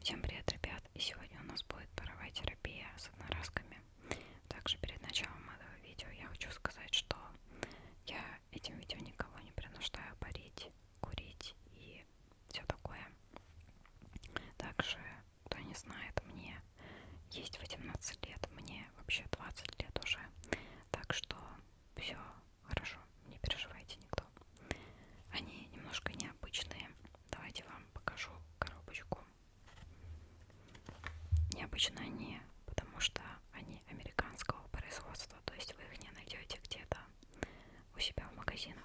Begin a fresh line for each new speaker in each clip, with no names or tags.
Всем привет, ребят! И сегодня у нас будет паровая терапия с одноразками. Также перед началом этого видео я хочу сказать, что я этим видео никого не принуждаю парить, курить и все такое. Также, кто не знает, мне есть 18 лет, мне вообще 20 лет уже. Так что все хорошо, не переживайте никто. Они немножко необычные. Давайте вам покажу коробочку. Необычно они, потому что они американского производства, то есть вы их не найдете где-то у себя в магазинах.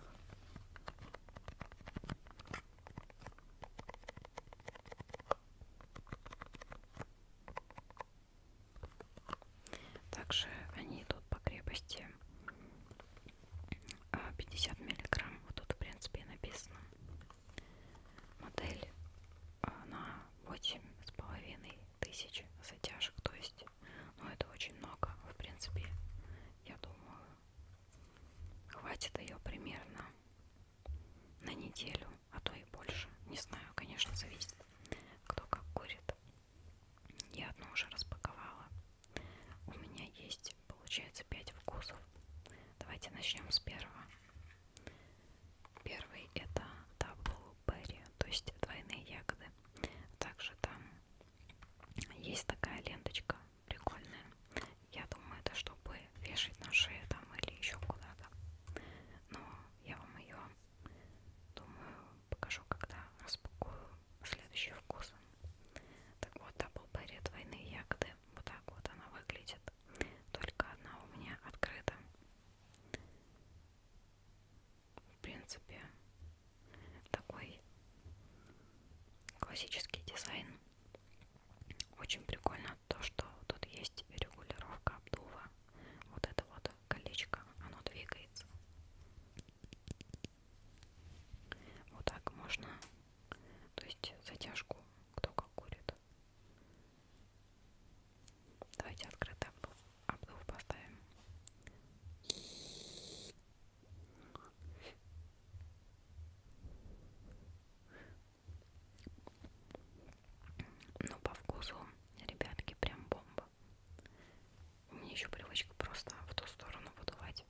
Также они идут по крепости 50 а, миллиграмм. Вот тут, в принципе, и написано. Модель а, на 8,5 тысяч затяжек. То есть, ну, это очень много. В принципе, я думаю, хватит ее примерно на неделю, а то и больше. Не знаю, конечно, зависит, кто как курит. Я одну уже распаковала. У меня есть, получается, 5 вкусов. Давайте начнем с первого. Первый это Double Berry, то есть двойные ягоды. Также там есть такая ленточка прикольная. Я думаю, это чтобы вешать на шею там или еще куда-то. Но я вам ее, думаю, покажу, когда распакую следующий вкус. Так вот, дабл баре двойные ягоды. Вот так вот она выглядит. Только одна у меня открыта. В принципе, такой классический дизайн. Очень прикольно то, что тут есть регулировка обдува. Вот это вот колечко, оно двигается. Вот так можно. То есть затяжку, кто как курит. Давайте открытый обдув, обдув поставим. Ну, по вкусу, ребятки, прям бомба. У меня еще привычка просто в ту сторону выдувать.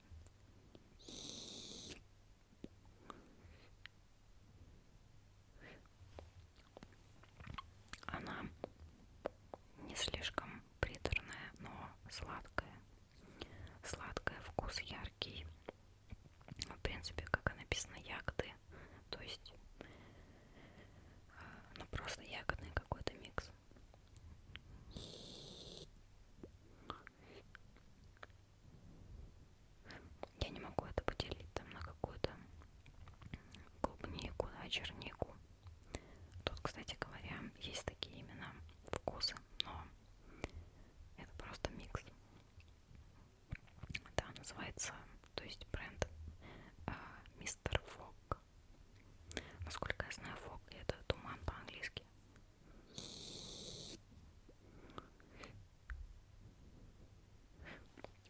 Она не слишком приторная, но сладкая. Сладкая, вкус яркий. В принципе, как и написано, ягоды. То есть, а, ну просто ягодный какой-то микс. Я не могу это поделить там на какую-то клубнику, да, чернику. Тут, кстати говоря, есть такие именно вкусы, но это просто микс. Да, называется, то есть бренд а, Мистер Фок. Насколько я знаю, фог это туман по-английски.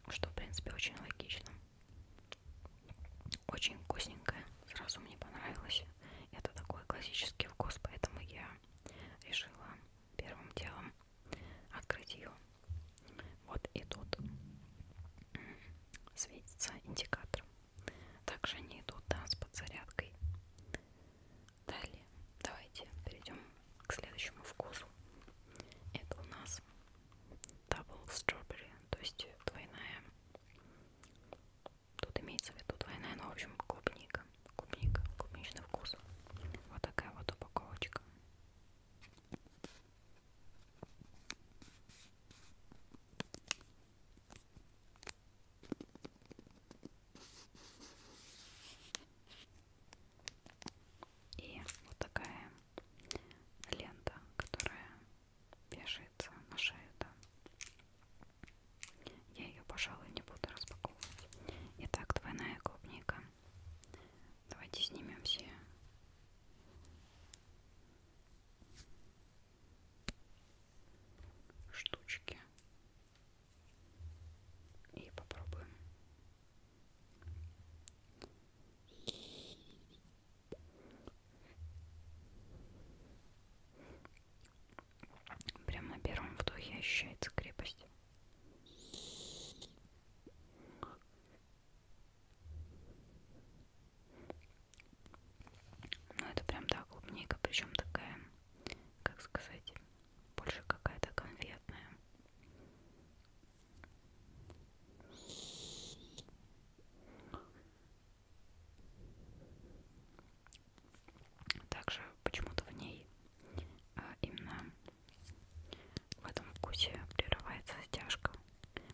Что, в принципе, очень логично. Очень вкусненькое. Сразу мне понравилось. Это такой классический вкус, поэтому я решила первым делом открыть ее. Вот и тут светится индикатор. Также они идут да, с подзарядкой. Далее давайте перейдем к следующему вкусу. Это у нас Double Strawberry, то есть двойная. Тут имеется в виду двойная, но в общем клубника. Клубника, клубничный вкус. Вот такая вот упаковочка. И вот такая лента, которая вешается на шею, да. Я ее, пожалуй, не буду распаковывать. Итак, двойная клубника. Давайте снимем все штучки и попробуем. Прямо на первом вдохе ощущается крепость. Ну, это прям, да, клубника, причем такая, как сказать, больше какая-то конфетная. Также почему-то в ней а именно в этом вкусе прерывается стяжка,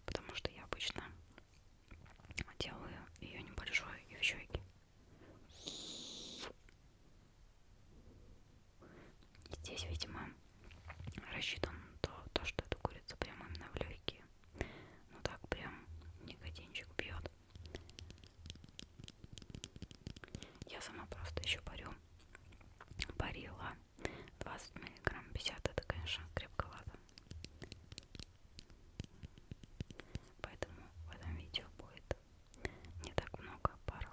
потому что я обычно делаю ее небольшой и в щеке. Здесь, видимо, рассчитан то, то, что эта курица прямо именно в легкие. Ну так прям никотинчик бьет. Я сама просто еще парю. Парила 20 миллиграмм 50. Это, конечно, крепковато. Поэтому в этом видео будет не так много пар.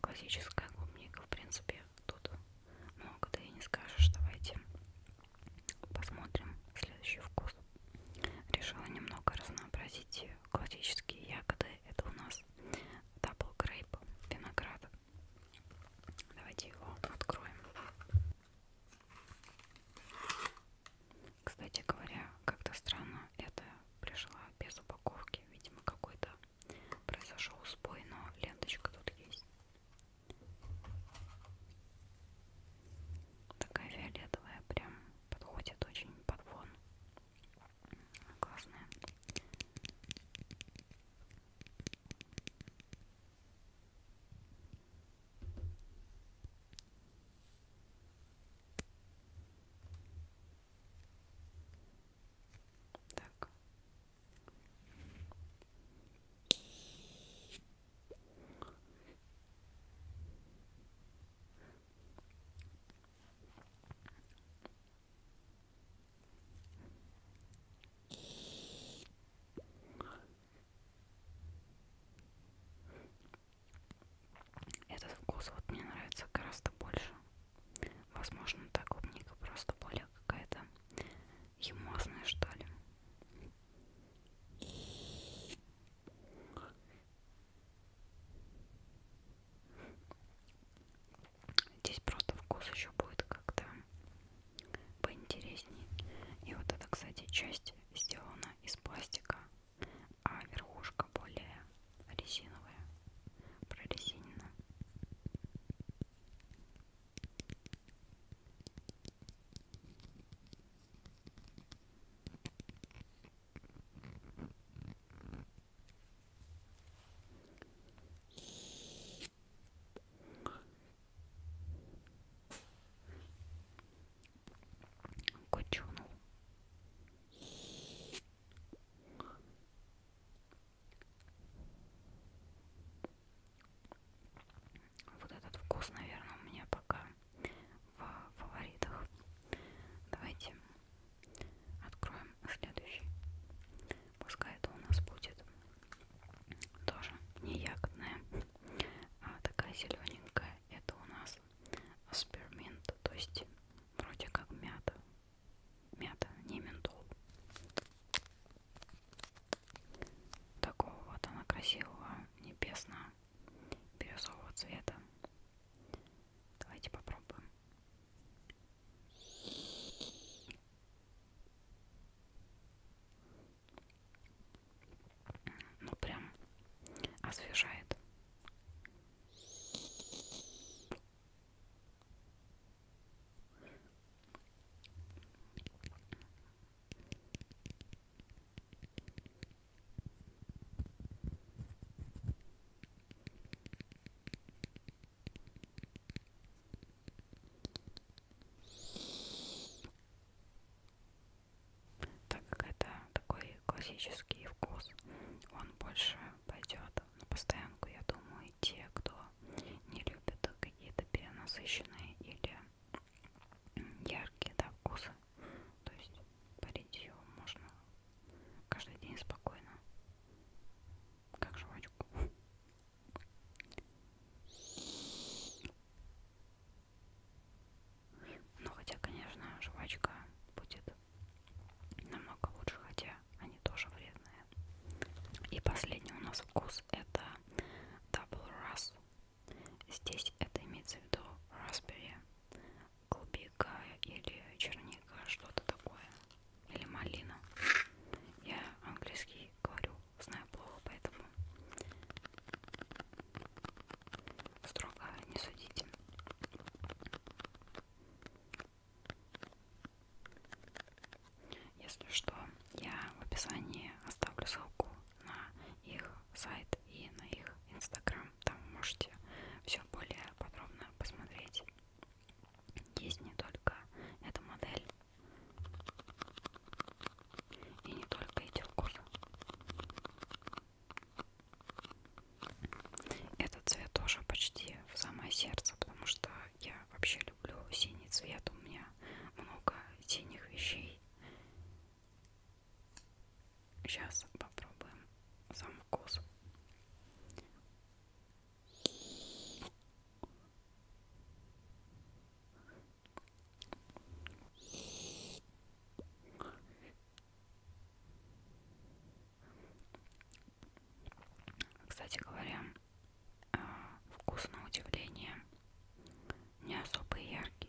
Классическая клубника, в принципе, тут много ты и не скажешь. Давайте посмотрим следующий вкус. Решила немного разнообразить классические ягоды это у нас дабл грейп виноград давайте его откроем кстати говоря как-то странно это пришла без упаковки видимо какой-то произошел сбой но ленточка тут есть такая фиолетовая прям подходит очень под фон. Классная. Так. Этот вкус вот мне нравится гораздо больше. Возможно, та клубника просто более какая-то емозная, что ли. Здесь просто вкус еще будет как-то поинтереснее. И вот эта, кстати, часть сделана из пластика, а верхушка более резиновая, прорезинена. Кучунул. Вот этот вкус, наверное, у меня пока в фаворитах. Давайте откроем следующий. Пускай это у нас будет тоже не ягодная, а такая зелененькая. Это у нас спирминт, то есть вроде как мята. Мята, не ментол. Такого вот она красивого, небесного бирюзового цвета. Давайте попробуем. Ну прям освежает. Так как это такой классический вкус, он больше пойдет на постоянку, я думаю, и те, кто не любит какие-то перенасыщенные или яркие да, вкусы. То есть парить ее можно каждый день спокойно, как жвачку. Но ну, хотя, конечно, жвачка будет намного лучше, хотя они тоже вредные. И последний у нас вкус это Double Russ Здесь это имеется в виду raspberry, клубика или черника, что-то такое, или малина. Я английский говорю, знаю плохо, поэтому строго не судите. Если что, я в описании оставлю ссылку на их сайт и на их инстаграм. Там можете все более подробно посмотреть. Есть не только эта модель и не только эти вкусы. Этот цвет тоже почти в самое сердце, потому что я вообще люблю синий цвет. У меня много синих вещей. Сейчас попробуем сам вкус. Кстати говоря, а, вкус на удивление не особо яркий.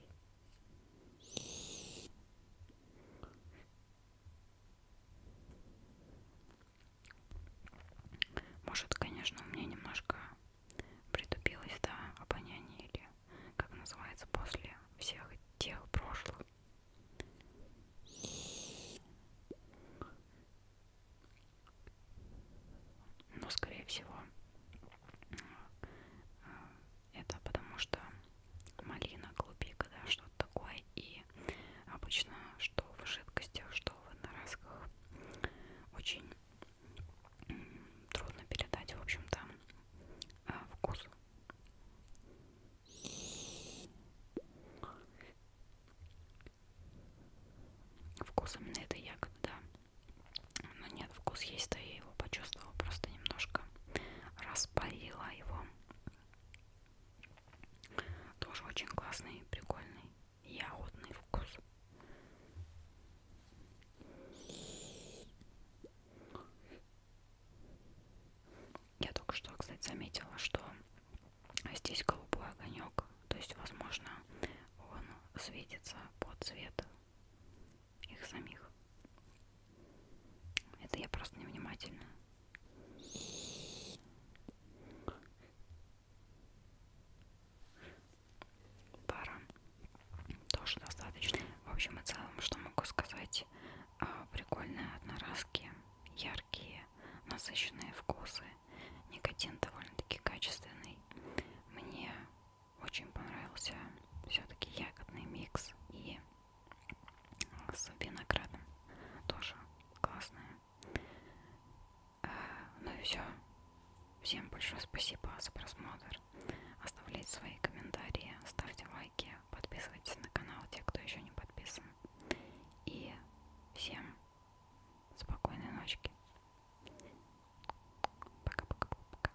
Может, конечно, у меня немножко притупилось, да, обоняние или, как называется, после всех тех прошлых. Но, ну, скорее всего, это потому что малина, клубика, да, что-то такое. И обычно, что в жидкостях, что в одноразках, очень трудно передать, в общем-то, э, вкус. Вкус именно этой ягоды, да но ну нет, вкус есть, то я его почувствовала, просто немножко распалила его. Тоже очень классный, прикольный, ягодный вкус. Я только что, кстати, заметила, что здесь голубой огонек, то есть, возможно, он светится по цвету их самих. Это я просто невнимательна. Пара тоже достаточно. В общем и целом, что могу сказать, а, прикольные одноразки, яркие, насыщенные вкусы. Никотин довольно-таки качественный. Мне очень понравился все-таки ягодный микс и с виноградом тоже классная. Э, ну и все. Всем большое спасибо за просмотр. Оставляйте свои комментарии, ставьте лайки, подписывайтесь на канал, те, кто еще не подписан. И всем спокойной ночки. Пока-пока-пока.